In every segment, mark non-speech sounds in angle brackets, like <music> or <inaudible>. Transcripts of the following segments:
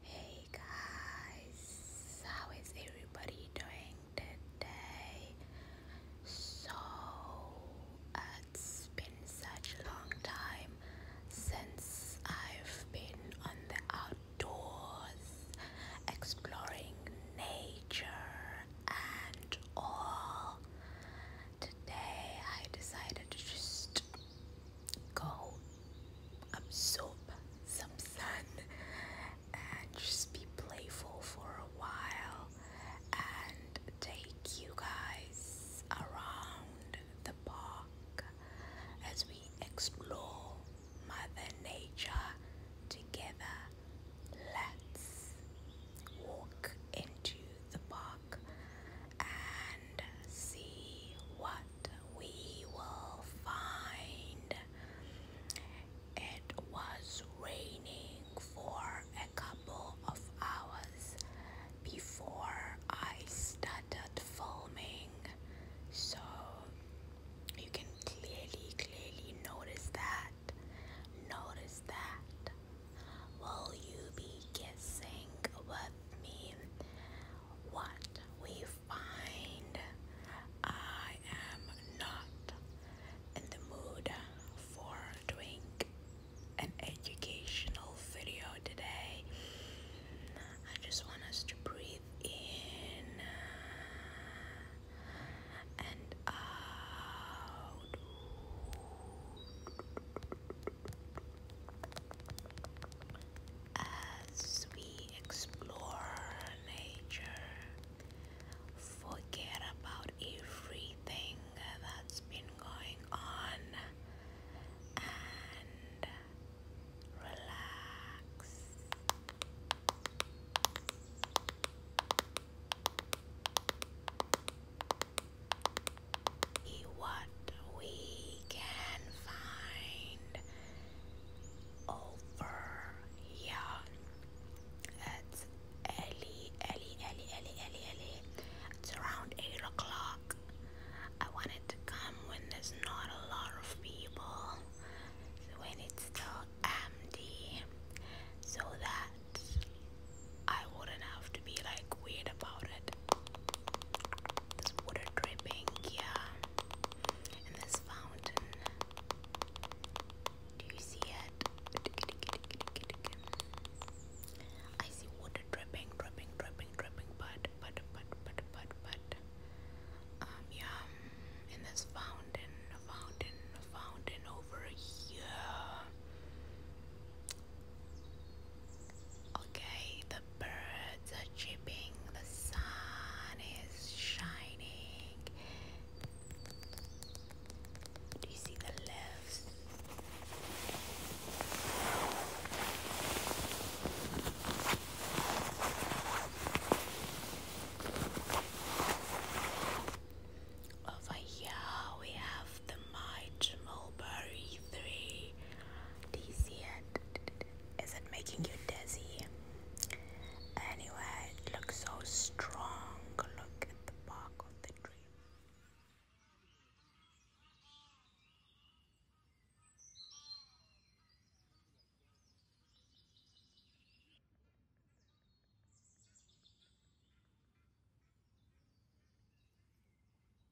Hey guys, how is everybody doing today? So, uh, it's been such a long time since I've been on the outdoors exploring nature and all. Today I decided to just go absorb some sun and just be playful for a while and take you guys around the park as we explore Mother Nature together. Let's walk into the park and see what we will find. It was raining for a couple of hours before I started filming, so you can clearly, clearly notice that. Notice that. Will you be kissing with me? what we find. I am not in the mood for doing an educational video today. I just want us to breathe in and out as we explore nature, forget about everything that's been going on and relax what we can find over here. It's early, early, early, early, early, early. It's around 8 o'clock. I wanted to come when there's not a lot of people, when it's still empty, so that I wouldn't have to be like weird about it. This water dripping, yeah. And this fountain. Do you see it? I see water dripping, dripping, dripping, dripping, but, but, but, but, but, but. Um, yeah. And this fountain, fountain, fountain over here. Okay, the birds are chirping, the sun is shining. Do you see the leaves? Over here we have the mighty mulberry tree dizzy. Dizzy and is it making you dizzy? Anyway, it looks so strong. Look at the bark of the tree.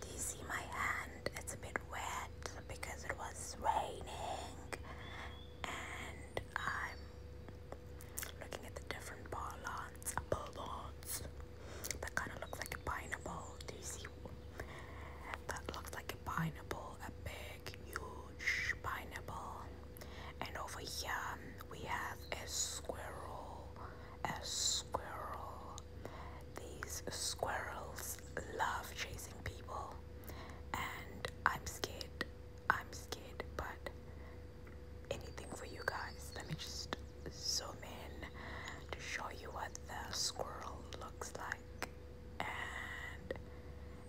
Do you see my hand? It's a bit wet because it was raining and I'm looking at the different uh, balloons, balloons that kind of looks like a pineapple. Do you see? That looks like a pineapple, a big, huge pineapple. And over here we have a squirrel, a squirrel, these squirrels love chasing people, and I'm scared. I'm scared, but anything for you guys. Let me just zoom in to show you what the squirrel looks like. And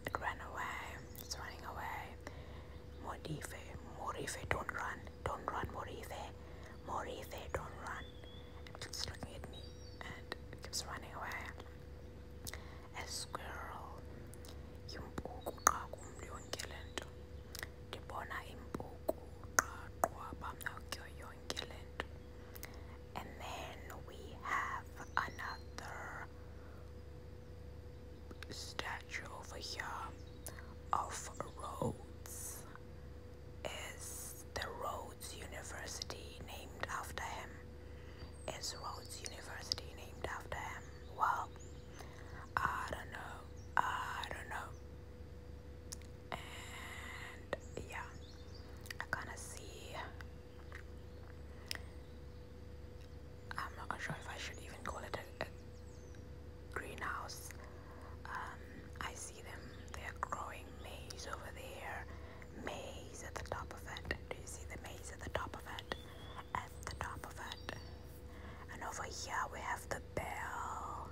it ran away. It's running away. Morife, Morife, don't run, don't run, Morife, Morife, don't run. It keeps looking at me and keeps running away. A squirrel. Impuku xa kumntu yonke le nto. Ndibona impuku xa qwaba kuyo yonke le nto. And then we have another statue over here of roads is the Rhodes University named after him? Is Rhodes University named after him? Well, I don't know. I don't know. And yeah, I kind of see. I'm not sure if I should even call it a, greenhouse. Um, I see them, they're growing maize over there, maze at the top of it. Do you see the maze at the top of it? At the top of it. And over here we have the bell.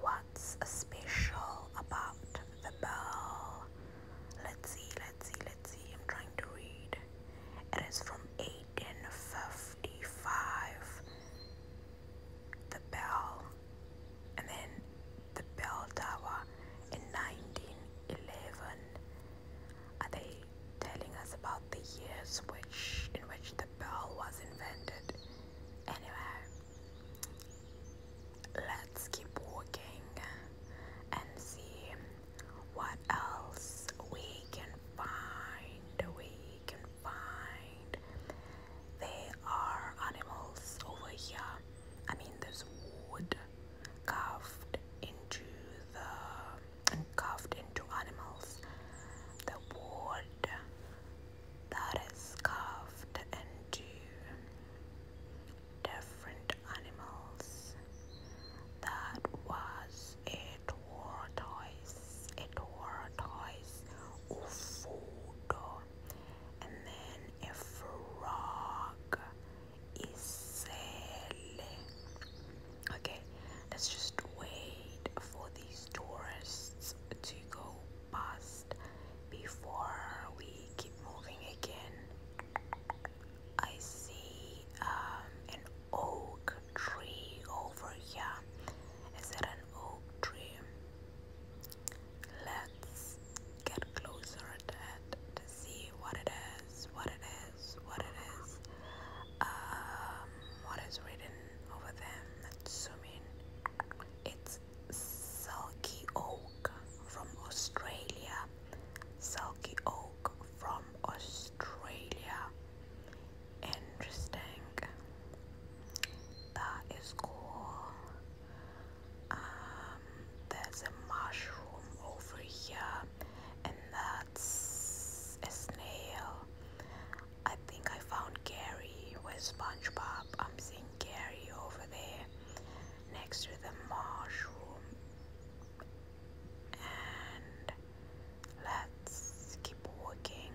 What's special about the bell? Let's see, let's see, let's see. I'm trying to read. It is from 1855. The bell and then the bell tower in 1911 are they telling us about the years which in which the bell was invented anyway let's keep walking and see what else we can find we can find there are animals over here. I mean, there's wood carved into the carved into animals. The wood that is carved into different animals. That was a tortoise, a tortoise, a food and then a frog is okay let's just wait for these tourists to go past before we keep moving again I see um, an oak tree over here is it an oak tree Let's get closer to it to see what it is, what it is, what it is. Um, what is written over there? Let's zoom in. It's Silky Oak from Australia. Silky Oak from Australia. Interesting. That is cool um, there's a mushroom over here and that's a snail I think I found Gary with Spongebob I'm seeing Gary over there next to the mushroom and let's keep walking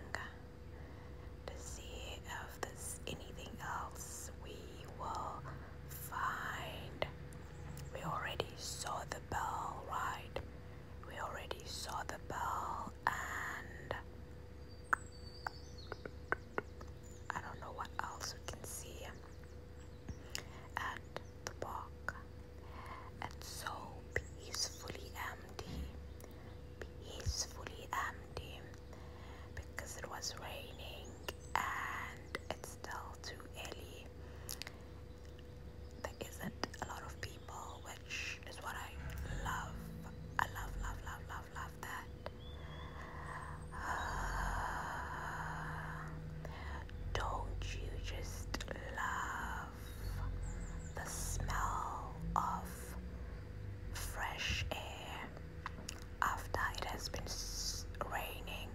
to see uh, there's anything else we will find we already saw the bell right we already saw the bell and I don't know what else can see at the park. It's so peacefully empty. Peacefully empty because it was raining and it's still too early. There isn't a lot of people, which is what I love. I love, love, love, love, love that. <sighs> don't you just love the smell of fresh air? after it has been raining.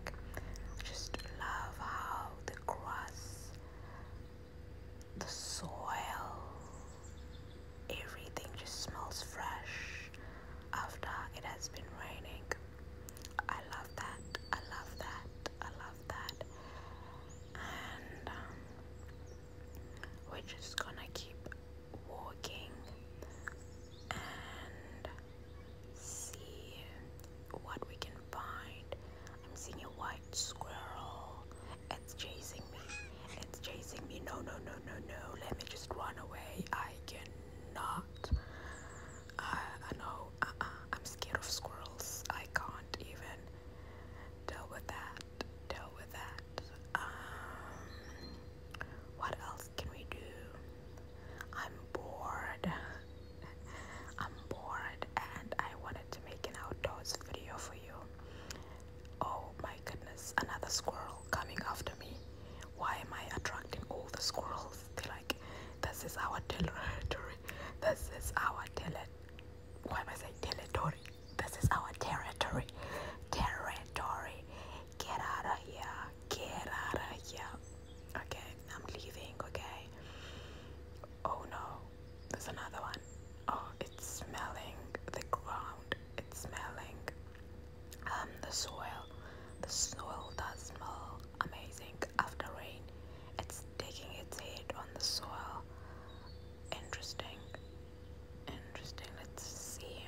just love how the grass, the soil, everything just smells fresh after it has been raining. I love that. I love that. I love that. And um, we're just gonna keep walking and see what we can find. I'm seeing a white squirrel. It's chasing me. It's chasing me. No, no, no, no, no. Let me just run away. I cannot. I, I know. Uh-uh. I'm scared of squirrels. I can't even deal with that. Deal with that. Um, what else can we do? I'm bored. I'm bored and I wanted to make an outdoors video for you. Oh my goodness, another squirrel coming after me. Why am I attracting all the squirrels? They're like, this is our territory. This is our territory. Why am I saying territory? This is our territory. Territory. Get out of here. Get out of here. Okay, I'm leaving, okay? Oh no, there's another one. Oh, it's smelling the ground. It's smelling um the soil. The soil does smell amazing after rain. It's taking its head on the soil. Interesting. Interesting. Let's see.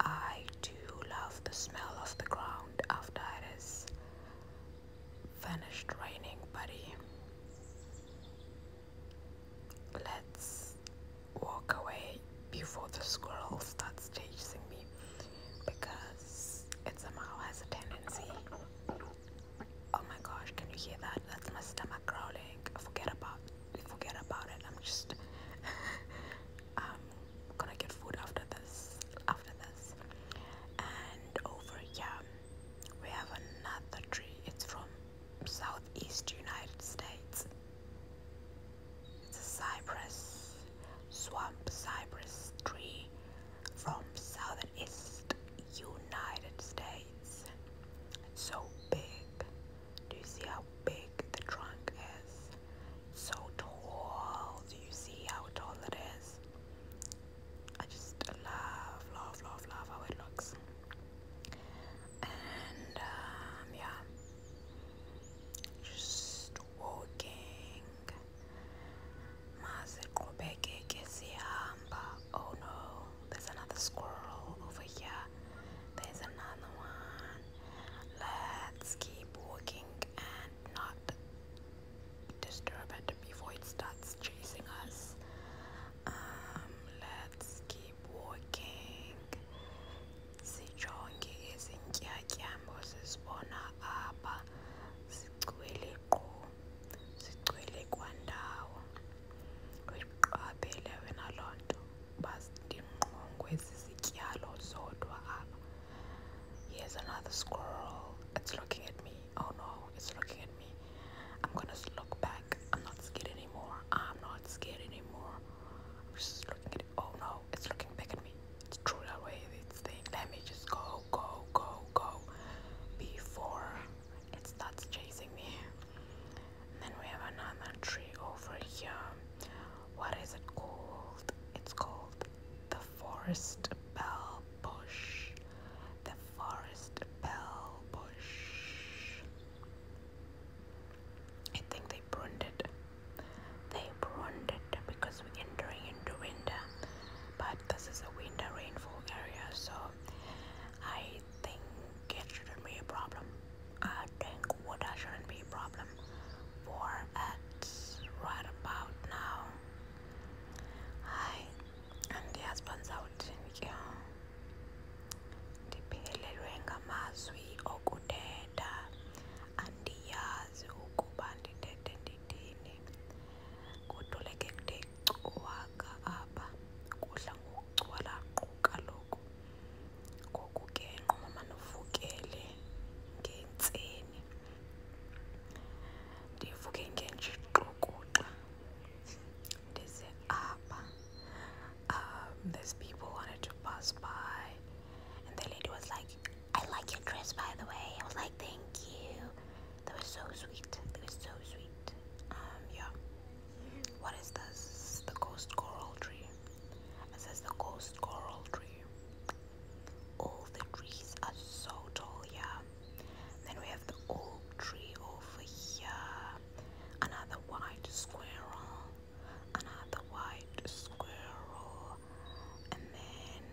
I do love the smell of the ground after it is finished raining, buddy. Let's walk away before the squirrel starts chasing me because it somehow has a tendency. Oh my gosh, can you hear that? That's my stomach crawling. Forget about forget about it. I'm just i <laughs> um, gonna get food after this after this. And over here we have another tree. It's from Southeast United States. It's a cypress swamp cypress tree from Southeast United States. It's so big. Do you see how big the trunk is? so tall. Do you see how tall it is? I just love, love, love, love how it looks. And um, yeah, just walking. Um, oh no. There's another squirrel over here. There's another one. Let's keep walking and not disturb it before it starts chasing us. Um, let's keep walking. Sijonge izintyatyambo sizibona apha. Sigcwele qo. Sigcwele kwandawo kuyiqaphele wena loo nto uba ndingqongwezi zityalo zodwa apha here's another squirrel it's looking at me oh no it's looking at me I'm gonna look back I'm not scared anymore I'm not scared anymore I'm just looking at it oh no it's looking back at me it's threw away its thing let me just go go go go before it starts chasing me. And then we have another tree over here. What is it called? It's called the forest bell bush. The forest bell bush. I think they pruned it. They pruned it because we're entering into winter. But this is a winter rainfall area, so I I think it shouldn't be a problem. I think water shouldn't be a problem. For it's right about now. Hi, and the husband's out in here. ndiphelelwe ngamazwi okuthetha andiyazi ukuba ndithethe ndithini kuduleke kude Waka apha kudla ngokucwala qhu kaloku. Ngoku ke nqumamani uvukele ngentseni. Ndivuke ngenjixukuxa ndize apha. Um, these people wanted to pass by and the lady was like, I like your dress by the way. I was like, thank you. They were so sweet. They were so sweet. Um, yeah. What is this? The ghost coral tree. This is the ghost coral tree. All the trees are so tall, yeah. Then we have the oak tree over here. Another white squirrel. Another white squirrel. And then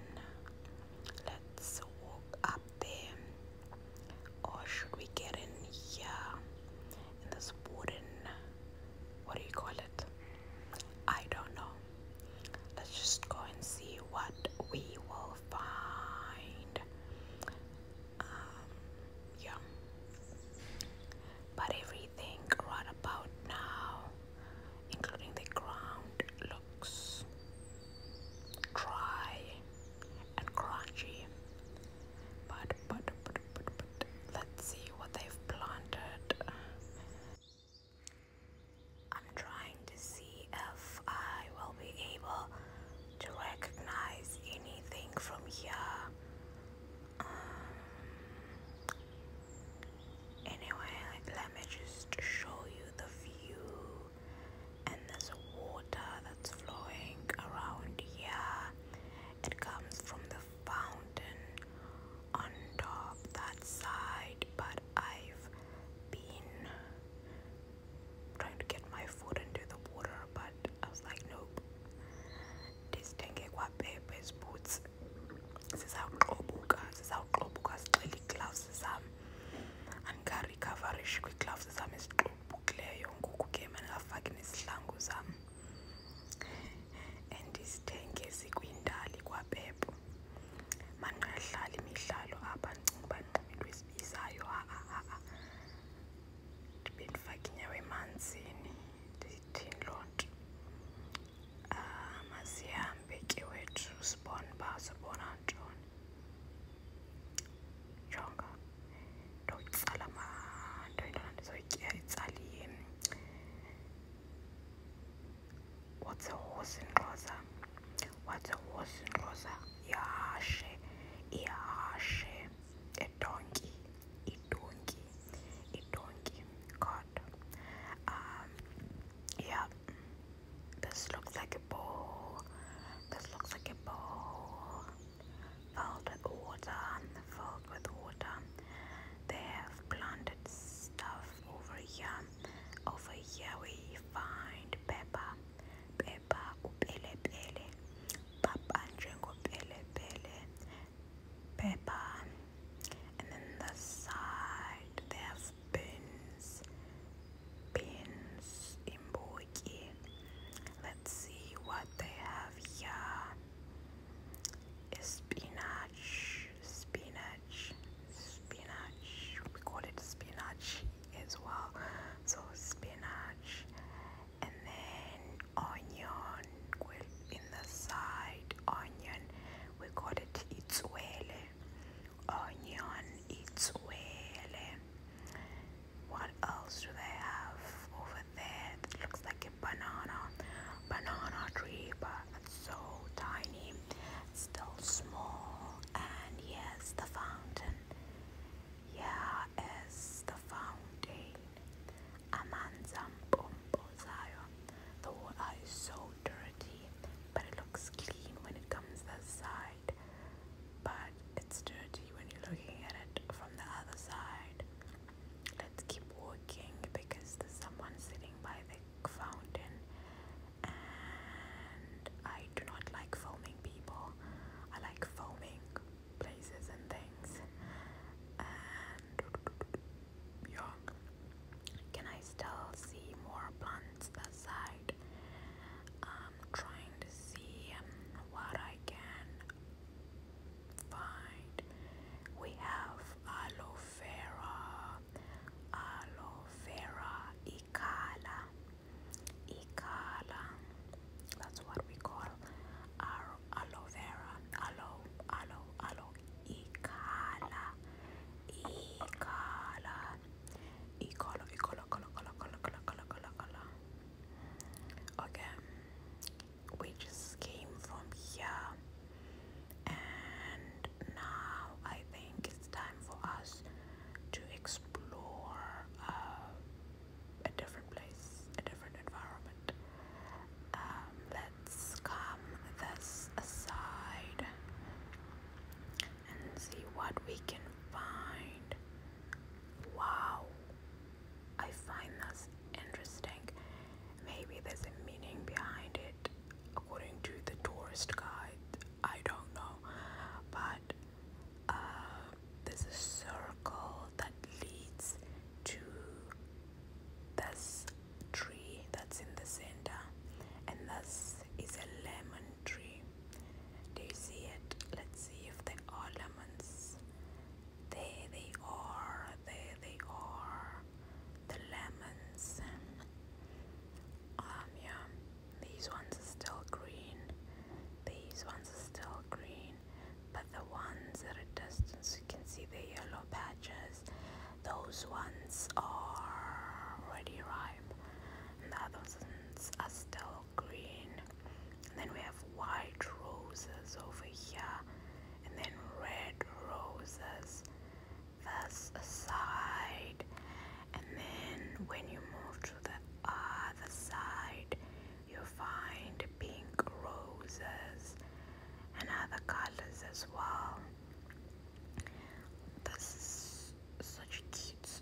let's walk up there or should we get in here in this wooden what do you call it I don't know let's just go and see what we will find um yeah but everything right about now including the ground looks dry and crunchy. But, but, but, but, but, let's see what they've planted. I'm trying to see if I will be able to recognize anything from here. Um, anyway, let me just show you the view and there's water that's flowing around here. It comes from the fountain on top that side, but I've been trying to get my foot into the water, but I was like, nope. This tenge kwa pepe's boots. zizawuqobuka zizawuqobuka sixele iigloves zam andikarikhavarishikwi iigloves zam eziqo obuqubukileyo ngoku ke mandingafaki nezihlangu zam andizithenge zikwindali kwapepo mandingadlali imidlalo apha ndicinga uba nqum into esibizayo ha-a-a ndibe ndifake inyawo emanzini ndithini loo nto um mazihambe ke wethu jonga nto itsala manto intona ndizoyitya itsali what's a horse in what's a horse in xhosa ihashe ihashe edonki idonki idonki god um yeah this looks like a bowl this looks like a bowl filled with water, filled with water. They have planted stuff over here. Over here we find pepper, pepper, upele pele, papa njengo pele pele, pepper. And then the side there's have beans, beans, imbu Let's see what they have here. Spinach, spinach, spinach. We call it spinach as well. So spinach, and then onion in the side. Onion. We call it itsuele. Onion itsuele. What else do they have over there? That looks like a banana, banana tree, but it's so tiny, still small. And yes, the fountain. Yeah, is the fountain. The water is so dirty, but it looks clean when it comes this side side, but it's dirty when you're looking at it from the other side. Let's keep walking because there's someone sitting by the fountain, and I do not like filming people, I like filming places and things. yeah, can I still see more plants that side? I'm trying to see um, what I can find we have aloe vera aloe vera ikala ikala that's what we call our aloe vera aloe aloe aloe ikala ikala ikala ikala ikala ikala ikala ikala ikala okay we just came from here and now I think it's time for us to explore uh, a different place a different environment um, let's come this aside and see what we can find wow I find that's interesting. Maybe there's a meaning behind it according to the tourist guide. I don't know. But uh, there's a circle that leads to this tree that's in the center, and this is a lemon tree. Do you see it? Let's see if there are lemons. There they are, there they are, the lemons. Um, yeah, these ones are still green, these ones are still green, but the ones at a distance you can see the yellow patches, those ones are already ripe, and the others are still green and then we have white roses over here and then red roses this side and then when you move to the other side you find pink roses and other colors as well this such cute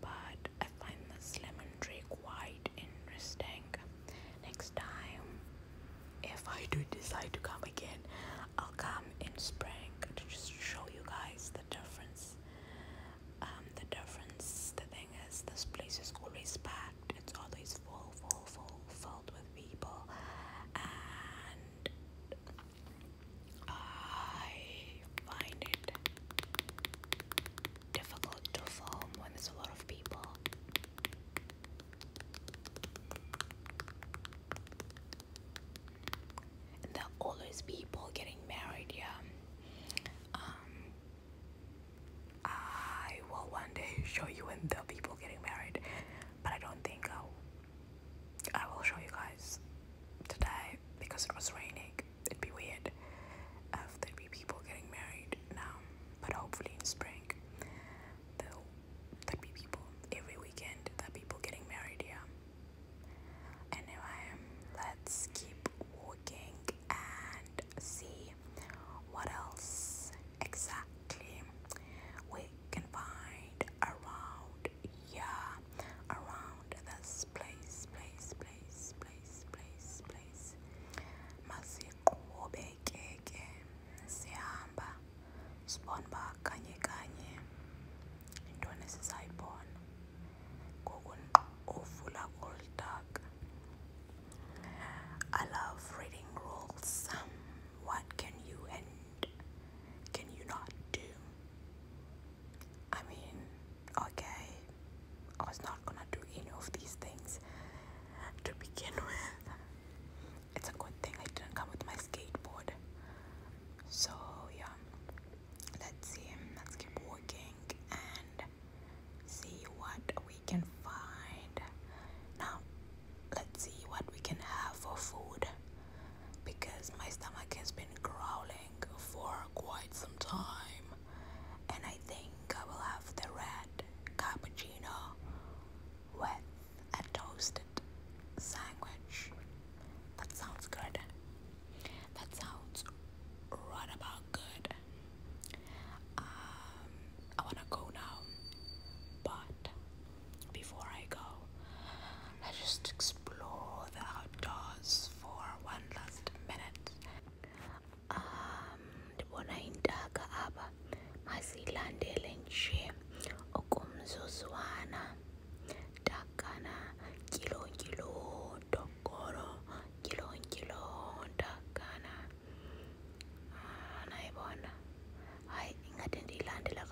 But I find this lemon tree quite interesting. Next time, if I do decide to come again, I'll come in spring to just show you guys the difference. Um, the difference, the thing is, this place is always packed. It's always full, full, full, filled with people, and I find it difficult to film when there's a lot of people. And there are always people getting married, yeah. Um, I will one day <laughs> show you when the people getting married, but I don't think I will show you guys today because it was raining, it'd be weird if there'd be people getting married now. But hopefully in spring, there'll there'd be people every weekend. There people getting married here. Anyway, let's keep walking and see what else exactly we can find around yeah around this place place place place place place masiqhubekeke sihamba sibone uba kanye kanye yintoni esizayibona ngoku ovula all dark I love reading rules what can you and can you not do I mean, okay, I was not gonna do any of these things to begin with. It's a good thing I didn't come with my skateboard. So, yeah, let's see, let's keep walking and see what we can find. Now, let's see what we can have for food because my stomach has been growling for quite some time and I think I will have the red cappuccino with a toasted sandwich. That sounds good. That sounds right about good. Um, I wanna go now, but before I go, Let's just explore the outdoors for one last minute. Um, ndibona intaka apha masiyilandele nje okumzuzwana ntakana tyilotyilo dogoro tyilotyilo ntakana ah, nayibona hayi ingathi ndiyilandela